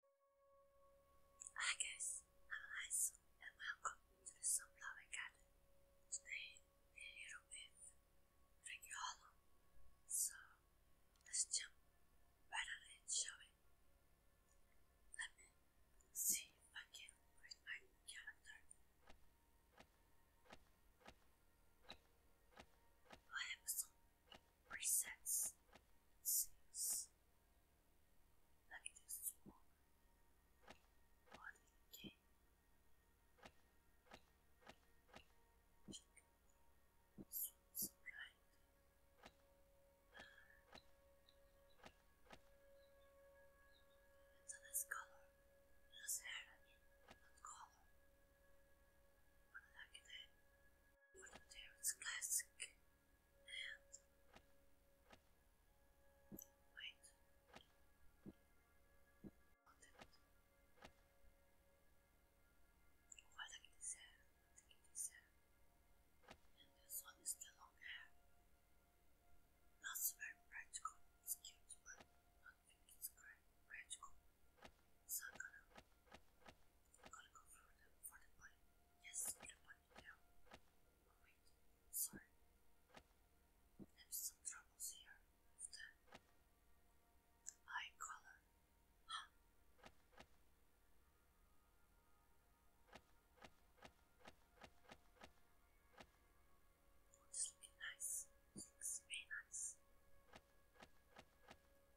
Hi guys, I'm Liza and welcome to the Sunflower Garden. Today we're here with Ricky Hollow. So let's jump right on it, shall we? Let me see if I can read my calendar. I have some presets six. Like this one. What again? Swoops right. It's a nice color. Just hair not color. But like that. But there it's classic. And wait. Hold it. Well, like this hair. Take this And this one is the Not very practical. It's cute, but I think it's great practical. So I'm gonna go for the for the button. Yes, for the button now. wait, sorry. There's some troubles here with the Huh. Oh, this nice. looks very nice.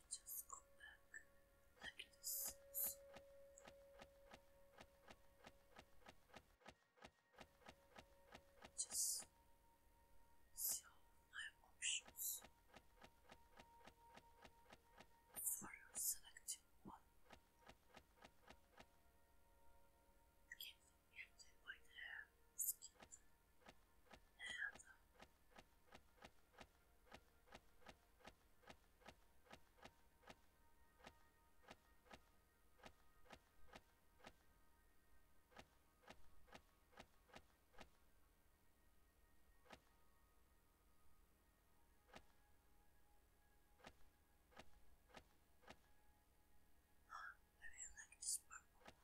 can just go back like this. Just see all my options for selecting one. Give me the white hair, skin. I really like this purple one.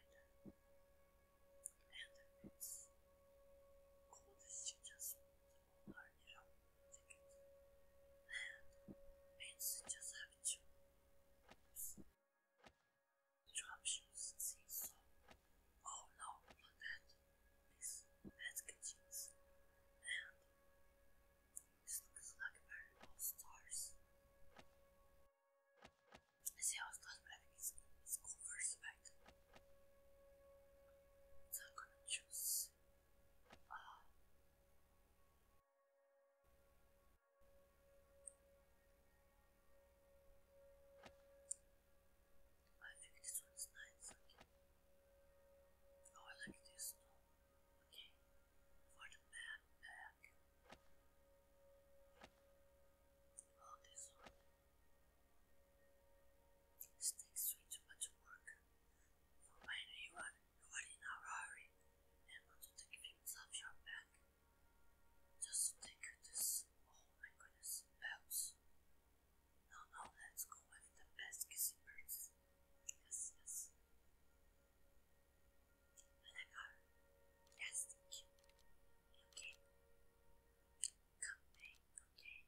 spider and the roots. Clothes she just all her little And pins just have two Drop shoes see so oh no not that this basket jeans and this looks like very old stars. See how it goes, but I first back. So I'm gonna choose. Uh, I think this one's nice. Okay. Oh, I like this. No. Okay for the backpack. All this This takes way too much work. For when you in a hurry and want to take things your back. Just take this. Oh my goodness, belts. No, no, let's go with the best kissing Yes, yes. When I got plastic, okay, come back, okay.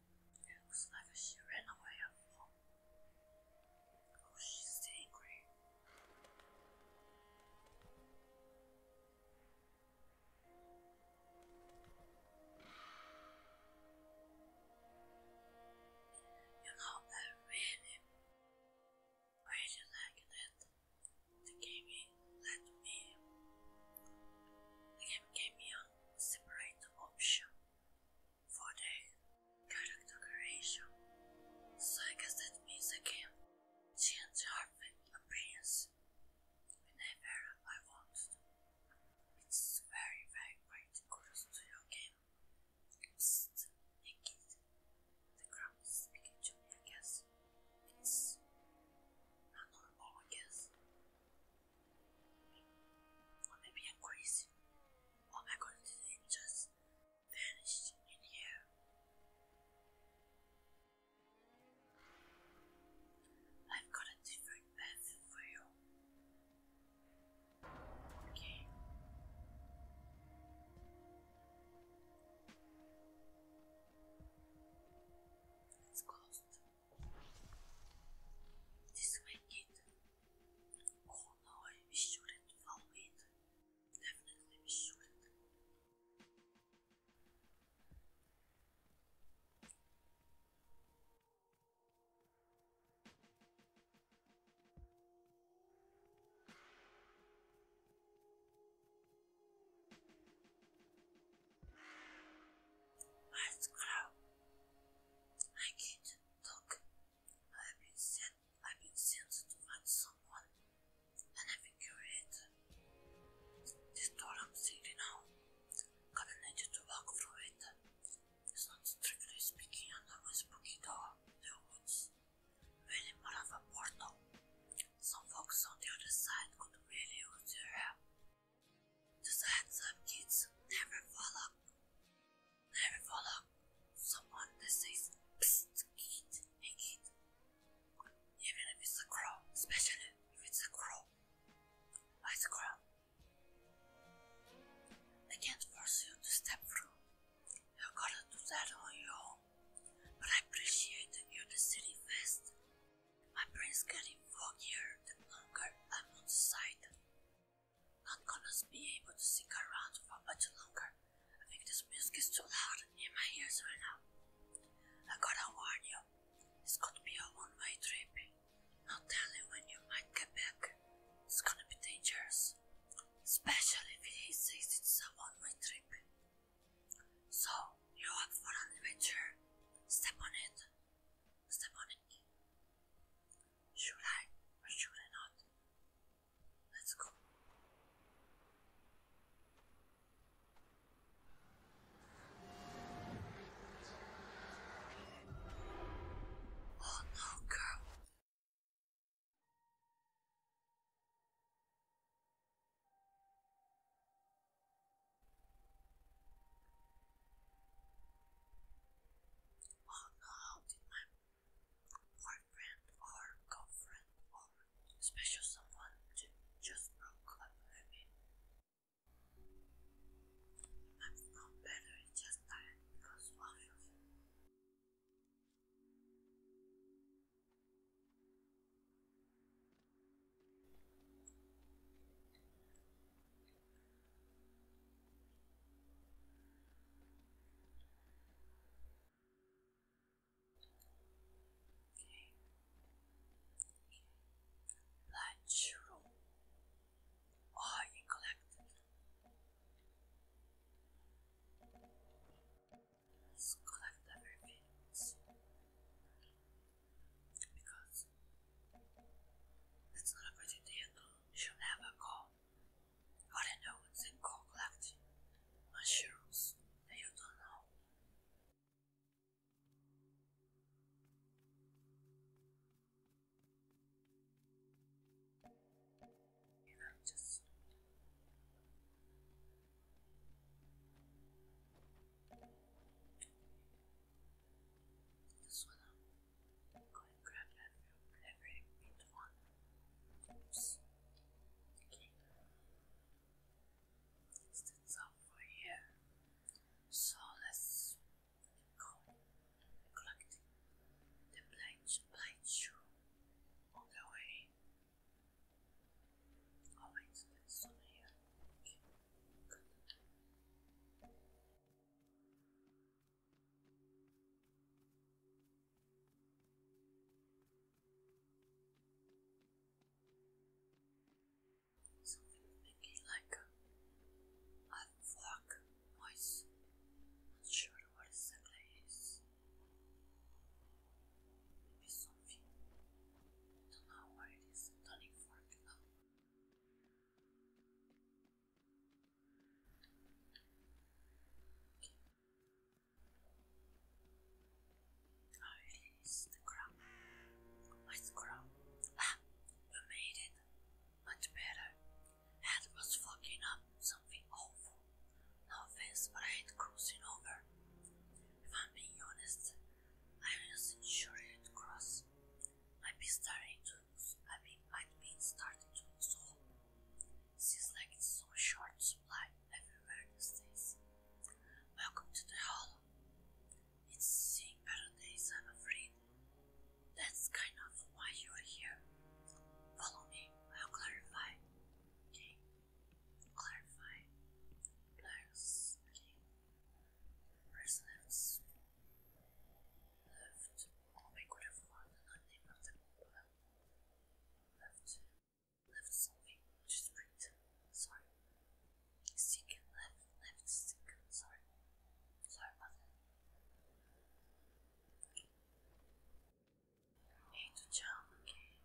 It was like she ran away Oh, she's angry. You know, I really, really like that the game let me, the game gave me a separate option for the character creation. So I guess that means the game changed her appearance whenever I want. It's very, very great. to your game. Psst, The crowd is speaking to me, I guess. It's not normal, I guess. Or maybe I'm crazy. All my confidence just vanished in here. I've got a different path for you. Okay. It's closed. This way, kid. Oh no, we shouldn't fall in. Definitely we shouldn't. let I can't look. I've been sent I've been sent to find someone and I've been curious. This door I'm seeing now. Gonna need you to walk through it. It's not strictly speaking another spooky door in was, Really more of a portal. Some folks on the other side could really use your help. Just a heads kids, never fall up. I follow someone that says Psst, eat, and eat. Even if it's a crow, especially if it's a crow. Why the crow? I can't force you to step through. You gotta do that on your own. But I appreciate that you are the city first. My brain's getting foggier the longer I'm on the side. Not gonna be able to sing around for much longer. I think this music is too loud in my ears right now. I gotta warn you, this could be a one-way trip. Not telling when you might get back. It's gonna be dangerous. Especially if he says it's a one-way trip. So, you're up for an adventure. Step on it. Step on it. Should I or should I not? Let's go. Oh no, girl will how did my boyfriend or girlfriend or special someone to just broke up with me. I'm not better, it just died because of you. Okay. Lunch room. All you collected. Let's collect everything because it's not a good idea she'll never go. don't know is they go collecting mushrooms that you don't know. And i just this Go and grab that every bit one. Oops. Okay. It's the for here. So let's go and the blade, blade shoe on the way. Oh wait, there's one here. Okay. Good. Something making like a, a noise. Not sure what exactly it is. something. Don't know what it is. Turning fork now. I it is the crumb. Ah, you made it. Much better. Head was fucking up something awful. No offense, but I hate crossing over. If I'm being honest, I wasn't sure it'd cross. I'd be starting to I mean, I've been starting to lose hope. Seems like it's so short supply everywhere these days. Welcome to the Hollow. It's seeing better days, I'm afraid. That's kind of why you're here. Follow me, I'll clarify. Okay? Clarify. Plus, left comic relief was the name of the problem. Left, left something which is written. Sorry, second left, left Sorry, sorry about that. Need to jump. Okay.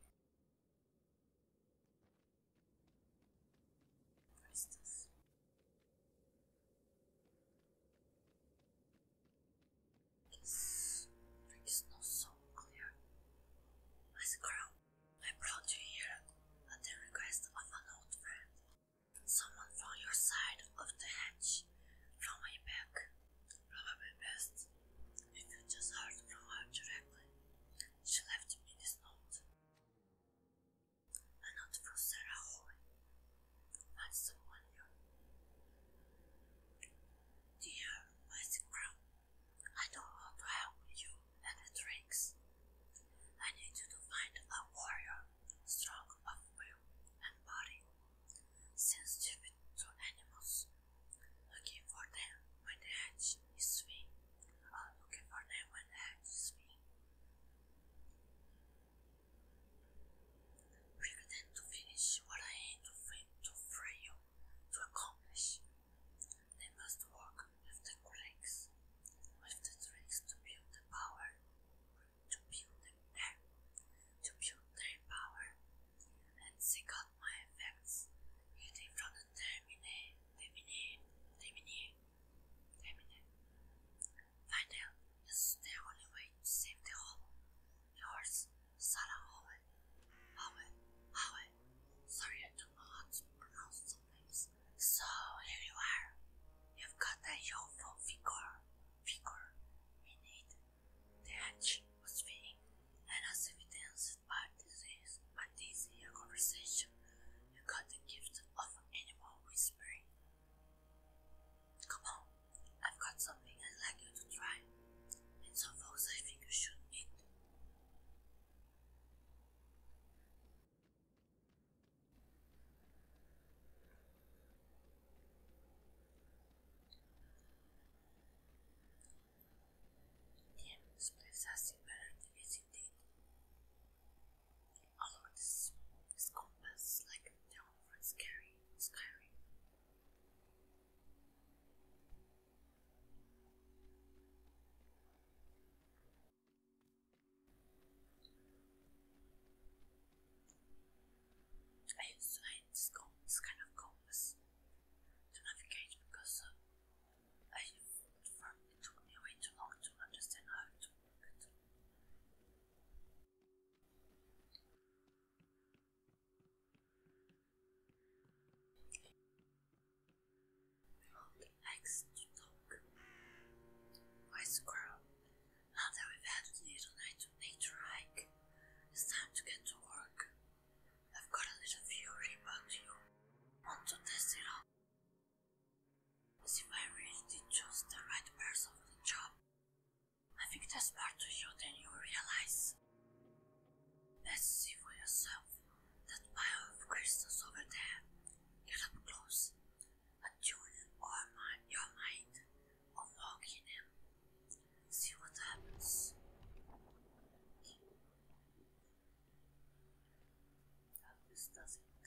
It's, not so clear. My scroll, I brought you here at the request of an old friend. Someone from your side of the hedge, from my back. Probably best if you just heard from her directly. She left me this note a note Sarah Hoy. I summon you. Dear West Crown, I don't want to help you and the tricks. I need you to find a warrior strong of will and body, sensitive to animals, looking for them when the hatch is free, I'm uh, looking for them when the hatch is free. We pretend to finish what I aim to, to to accomplish. They must work with the tricks, with the tricks to build the power, to build the air, to build their power, and seek out my effects, hidden from the termine, termine, termine, termine. I know it's the only way to save the whole? Yours, Sarah Howe. Howe, Howe. Sorry, I don't know how to pronounce some names. So here you are. You've got a youthful figure. Figure. Indeed, the edge was fitting, and as if it evidenced by this, by this here conversation, you got the gift of animal whispering. Come on, I've got something I'd like you to try, and some folks I think you should meet. Damn, this place has seen better than Although oh, this compass like their own friend Skyrim. Skyrim. I used to hate this, this kind of compass to navigate because uh, I found it took me way too long to understand how to work it. Only likes to talk. Why, squirrel? Now that we had a little night nature hike, it's time to get to work. I've got a little fury, but you. Want to test it out? As if I really did choose the right person for the job. I think there's more to you than you realize. Let's see for yourself that pile of crystals over there. Get up close and tune or my, your mind on walking in. See what happens. This doesn't look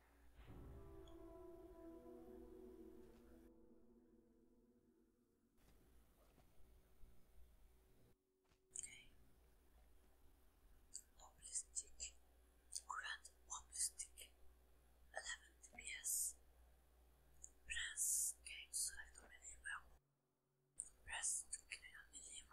Okay. Hopeless Grand Hopeless 11 DPS. Press game select a medium weapon. Press to kill a medium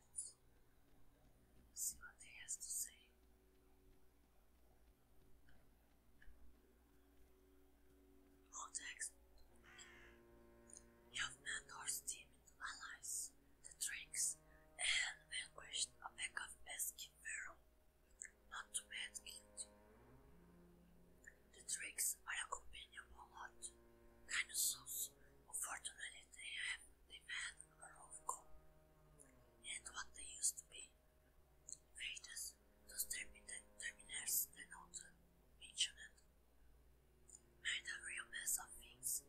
minutes. See what he has to say. Old You have met our steaming allies, the drinks, and vanquished a pack of pesky feral. Not to bad, kid. The drinks are a lot, kind of unfortunately they have they've a lot of And what they used to be. Invaders, those terminators they're not mentioned. Made a real mess of things,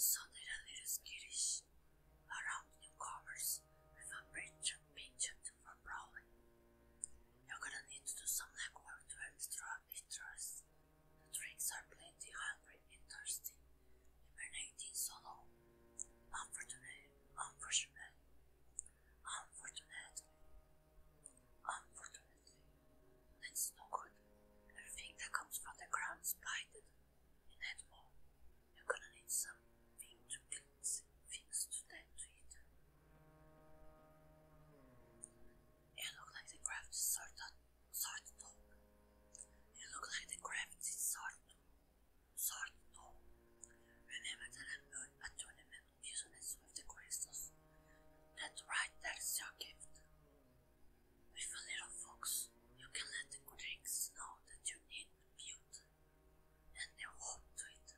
so they're a little skittish around newcomers with a penchant for brawling. You're gonna need to do some legwork to earn throughout the drinks are plenty, hungry, and thirsty, emanating solo. Unfortunately, unfortunately, unfortunately, unfortunately, that's no good. Everything that comes from the ground is blighted, and that more. You're gonna need something to cleanse, things to tend to it. You like the craft is sorted. Sort top. You look like the gravity sort. Sort top. Remember that I made a tournament business with the crystals. That's right, that's your gift. With a little fox, you can let the critics know that you need the build, and they will to it.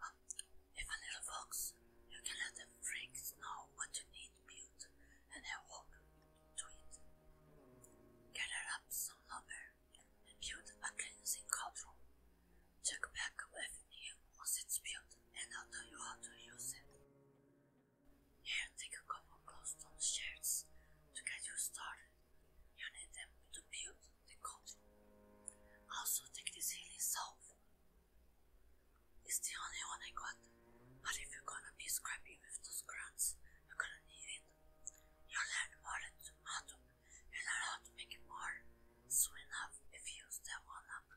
But um, if a little fox, you can let the freaks know what you need it and I walked to it, gathered up some lumber and build a cleansing cauldron, Check back you once it's built and I'll tell you how to use it. Here, take a couple of clothes, glowstone shirts, to get you started. You need them to build the cauldron. Also, take this healing salve it's the only one I got, but if you're gonna be scrappy with those grants, you're gonna need it. You'll learn more than tomato, you learn how to make it more, so enough if you use that one up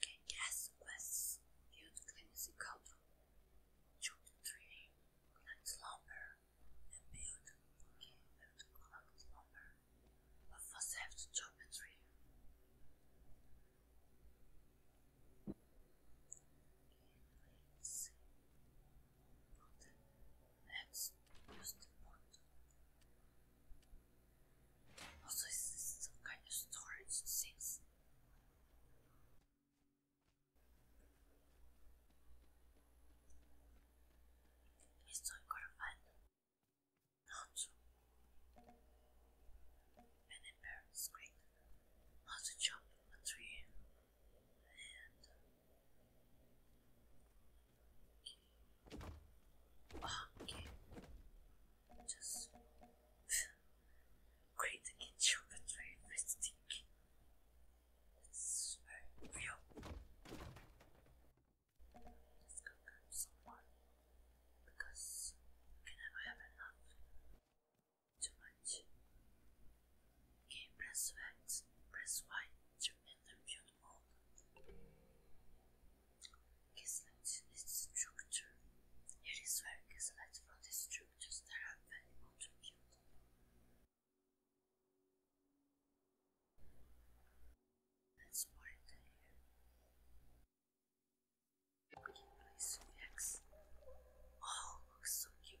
can guess less, viewed clinical should lumber and build okay, build collect lumber. But first have to chop Okay, let's see. But let use the pot. Also, is some kind of storage things? Estoy corvando. Not an embarrassed screen. How to a tree okay just creating a chocolate very It's very real. Let's go grab someone because we never have enough. Too much. Okay, press X, press Y to make them beautiful. Caselets is structure. Here is where caselets from the structures that are value contribute. Let's pour it in here. Okay, Oh, looks so cute.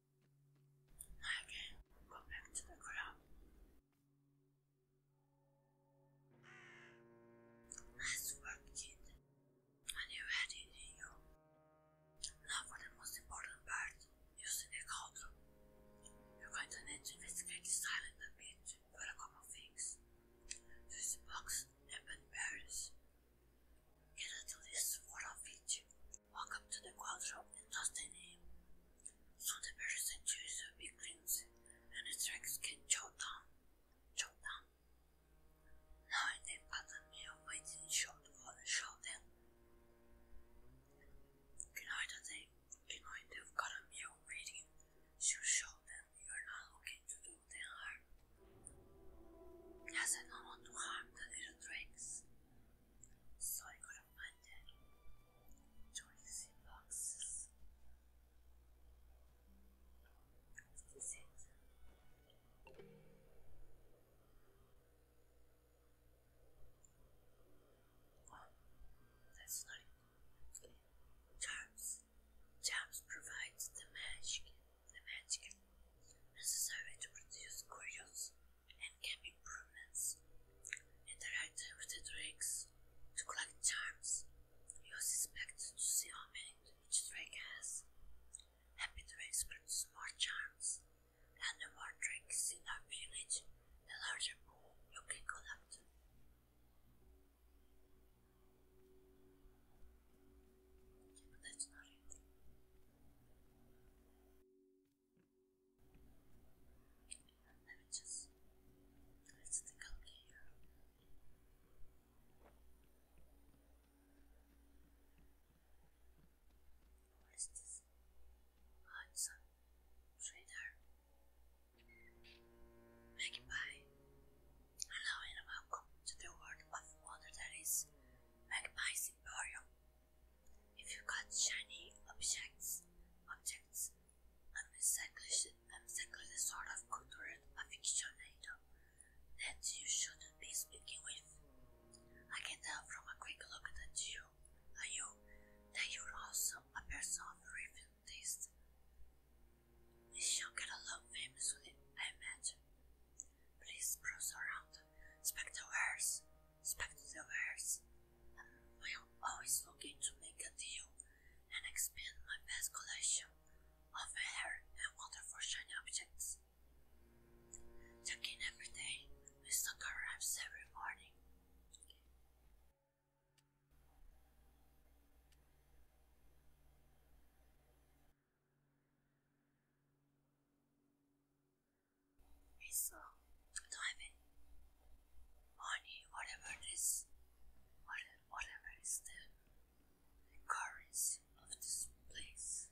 Okay, go back to the ground. Nice work, kid. And you had in you. Now for the most important part, using the cauldron. You're going to need to investigate this island a bit for a couple of things. Use the box and bed berries. Get at least four of Welcome to the Quadro Intestine. So the person chooses a big cleanse and the tracks can chow down. Chow down. Now the pattern of waiting short for the shouting. Ignore the they've got a meal waiting. You show them you're not looking to do them Yes, I don't want to harm the little drakes. So I got to Choice boxes. This is it. Well, that's not it. Charms. Charms provides the magic, the magic necessary to produce curious and gave improvements. Interacting with the drakes to collect charms. You are expected to see how many each drake has. Happy drakes produce more charms, and the more drakes in our village, the larger pool you can collect. but that's not it. Let me just let's think up here. Who is this? Hudson oh, Trader. Magpie. Hello and welcome to the world of water that is Magpie's Emporium. If you got shiny objects, objects, unrecycled is sort of cultural aficionado that you shouldn't be speaking with. I can tell from a quick look at you, at you, that you're also a person of refined taste. We shall get along famously, I imagine. Please browse around, Spectre wares, Spectators, I'm always looking to make a deal and expand my best collection of hair and wonderful shiny objects. Checking every our arrives every morning. It's a uh, diamond whatever it is, whatever, whatever the, currency of this place.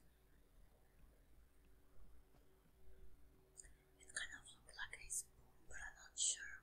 It kind of looks like a spoon, but I'm not sure.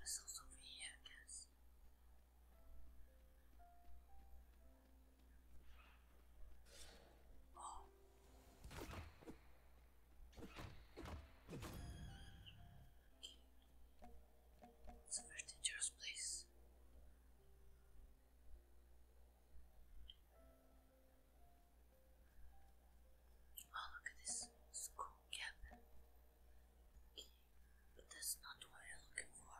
This also It's a very dangerous place. Oh, look at this school cabin. But that's not what I'm looking for.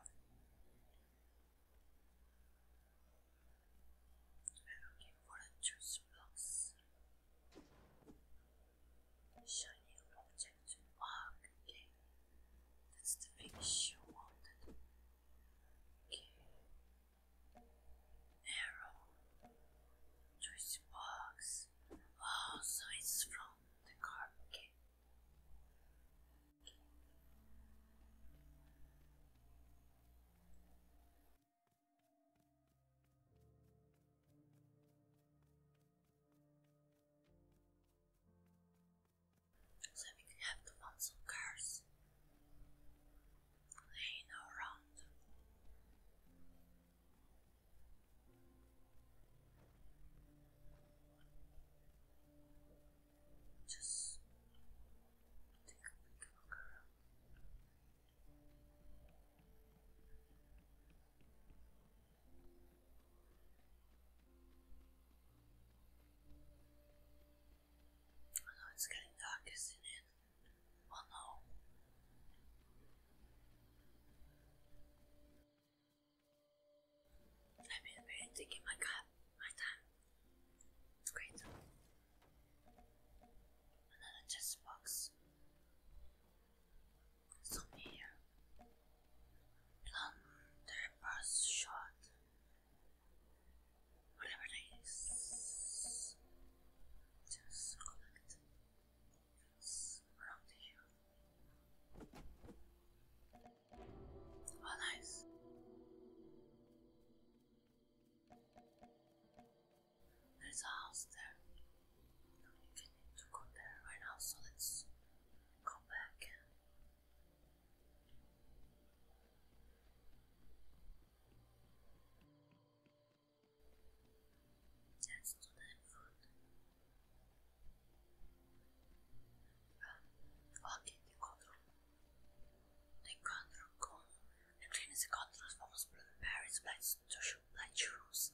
I'm looking for a church box. Shiny object. Ah, okay. That's the big issue wanted. Okay. Arrow. Twist box. Oh, so it's from the car. So we can have the ones cars laying around. Just take a big look around. I know it's getting dark, isn't it? Oh no. I've been really my god, my time. It's great. Another chest box. Something here. Plunder bus shot. Whatever Just collect. Oh, nice. There's a house there. No, we can need go there right now, so let's go back. Just to the food. Oggi incontro l'incontro con the trainers encontros vamos para Paris Blitz to shoot light rooms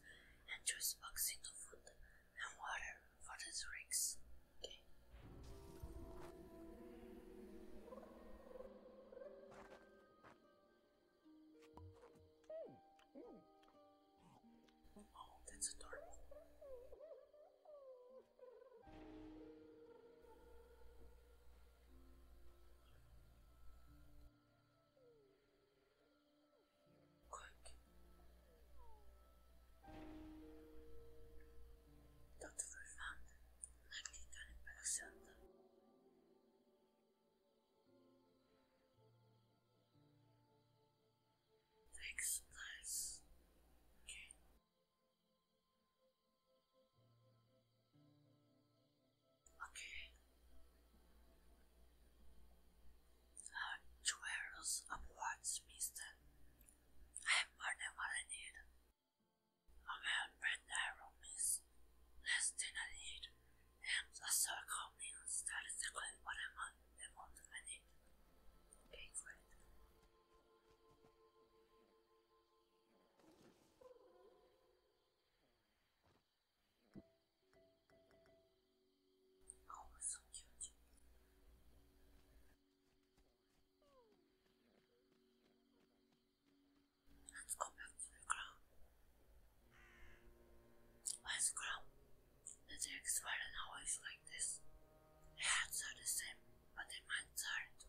and choose boxing to food and water for the drinks. Okay. Oh, that's adorable. Quick. Dr. Vervan, naklitany pelesenty. Thanks, guys. Okay. Okay. Uh, two arrows upwards, mister. I have more than what I need. I'm on red arrow, Less than I need. I saw a company and that is exactly what I want, I want and I Okay, great. Oh, it's so cute. Let's go back to the ground. Where's the ground? The drakes weren't always like this. Their heads are the same, but their minds aren't.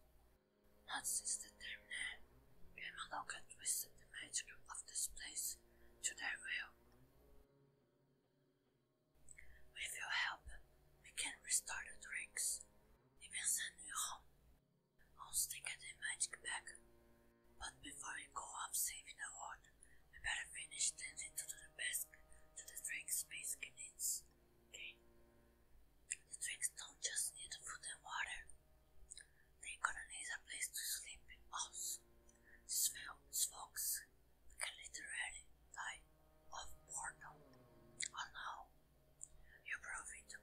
Not since the term name. Yamaloka twisted the magic of this place to their will. With your help, we can restore the drinks. Even send you home. I'll stick at the magic bag. But before you go off saving the world, we better finish tending to the best to the drink space needs. Okay? The drinks don't just need food and water. They're gonna need a place to sleep in also. These folks can literally die of boredom. Oh no, you're probably too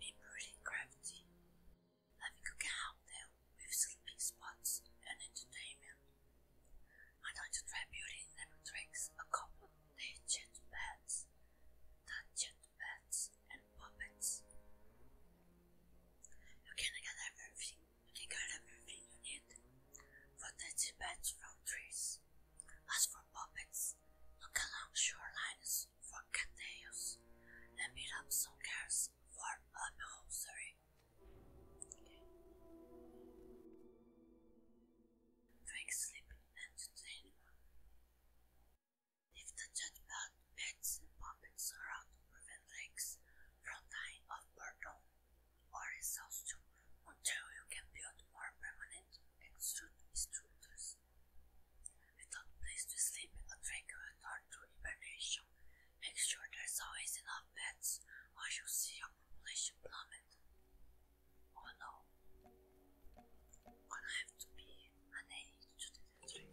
be pretty crafty having a cow there with sleepy spots and entertainment. I'd like to try building them tricks, a couple of jet beds, jet beds and puppets. You can get everything, you can get everything you need. For detached beds from trees. As for puppets, look along shorelines girls for cattails and beat up some girls for upholstery. Drink, sleep, entertainment. If the jackpot pets and puppets around to legs from dying of boredom or exhaustion until you can build more permanent extrude extruders a place to sleep, a drink, frequent or to hibernation, make sure there's always enough beds or you see your population plummet. Oh no. Gonna have to be an aid to the drink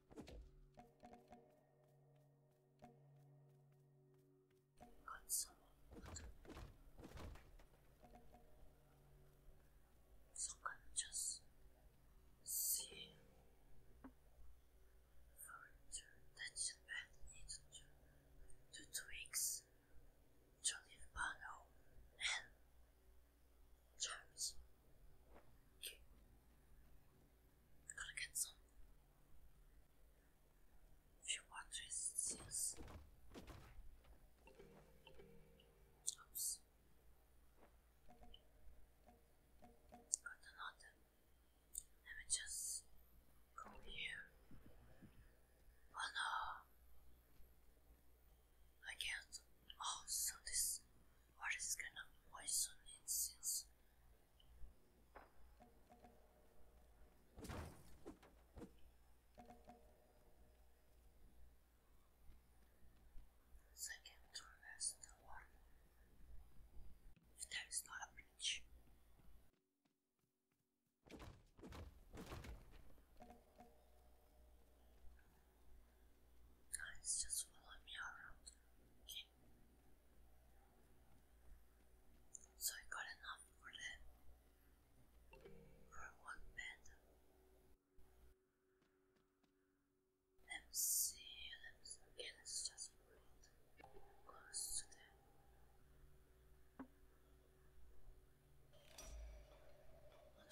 Got someone someone just see furniture that should bed needed to to twigs Johnny Pano and Charles. Okay. Gotta get some few water resistance. Oops. Got another. Let me just go here. Oh no! I can't. Oh, so this what is gonna poison it since? I can traverse the water. If there is not a bridge. Guys, just follow me around, so I got enough for them. For one bed. Let me see, let me see. let's just put it close to them.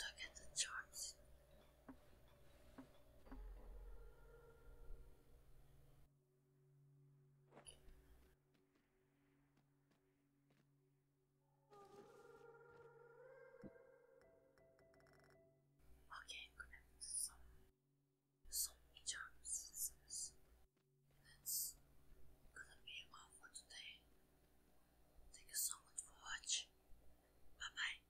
Look at the charms Okay, I'm gonna mix some some charms gonna be all for today. Thank you so much for watching. Bye bye.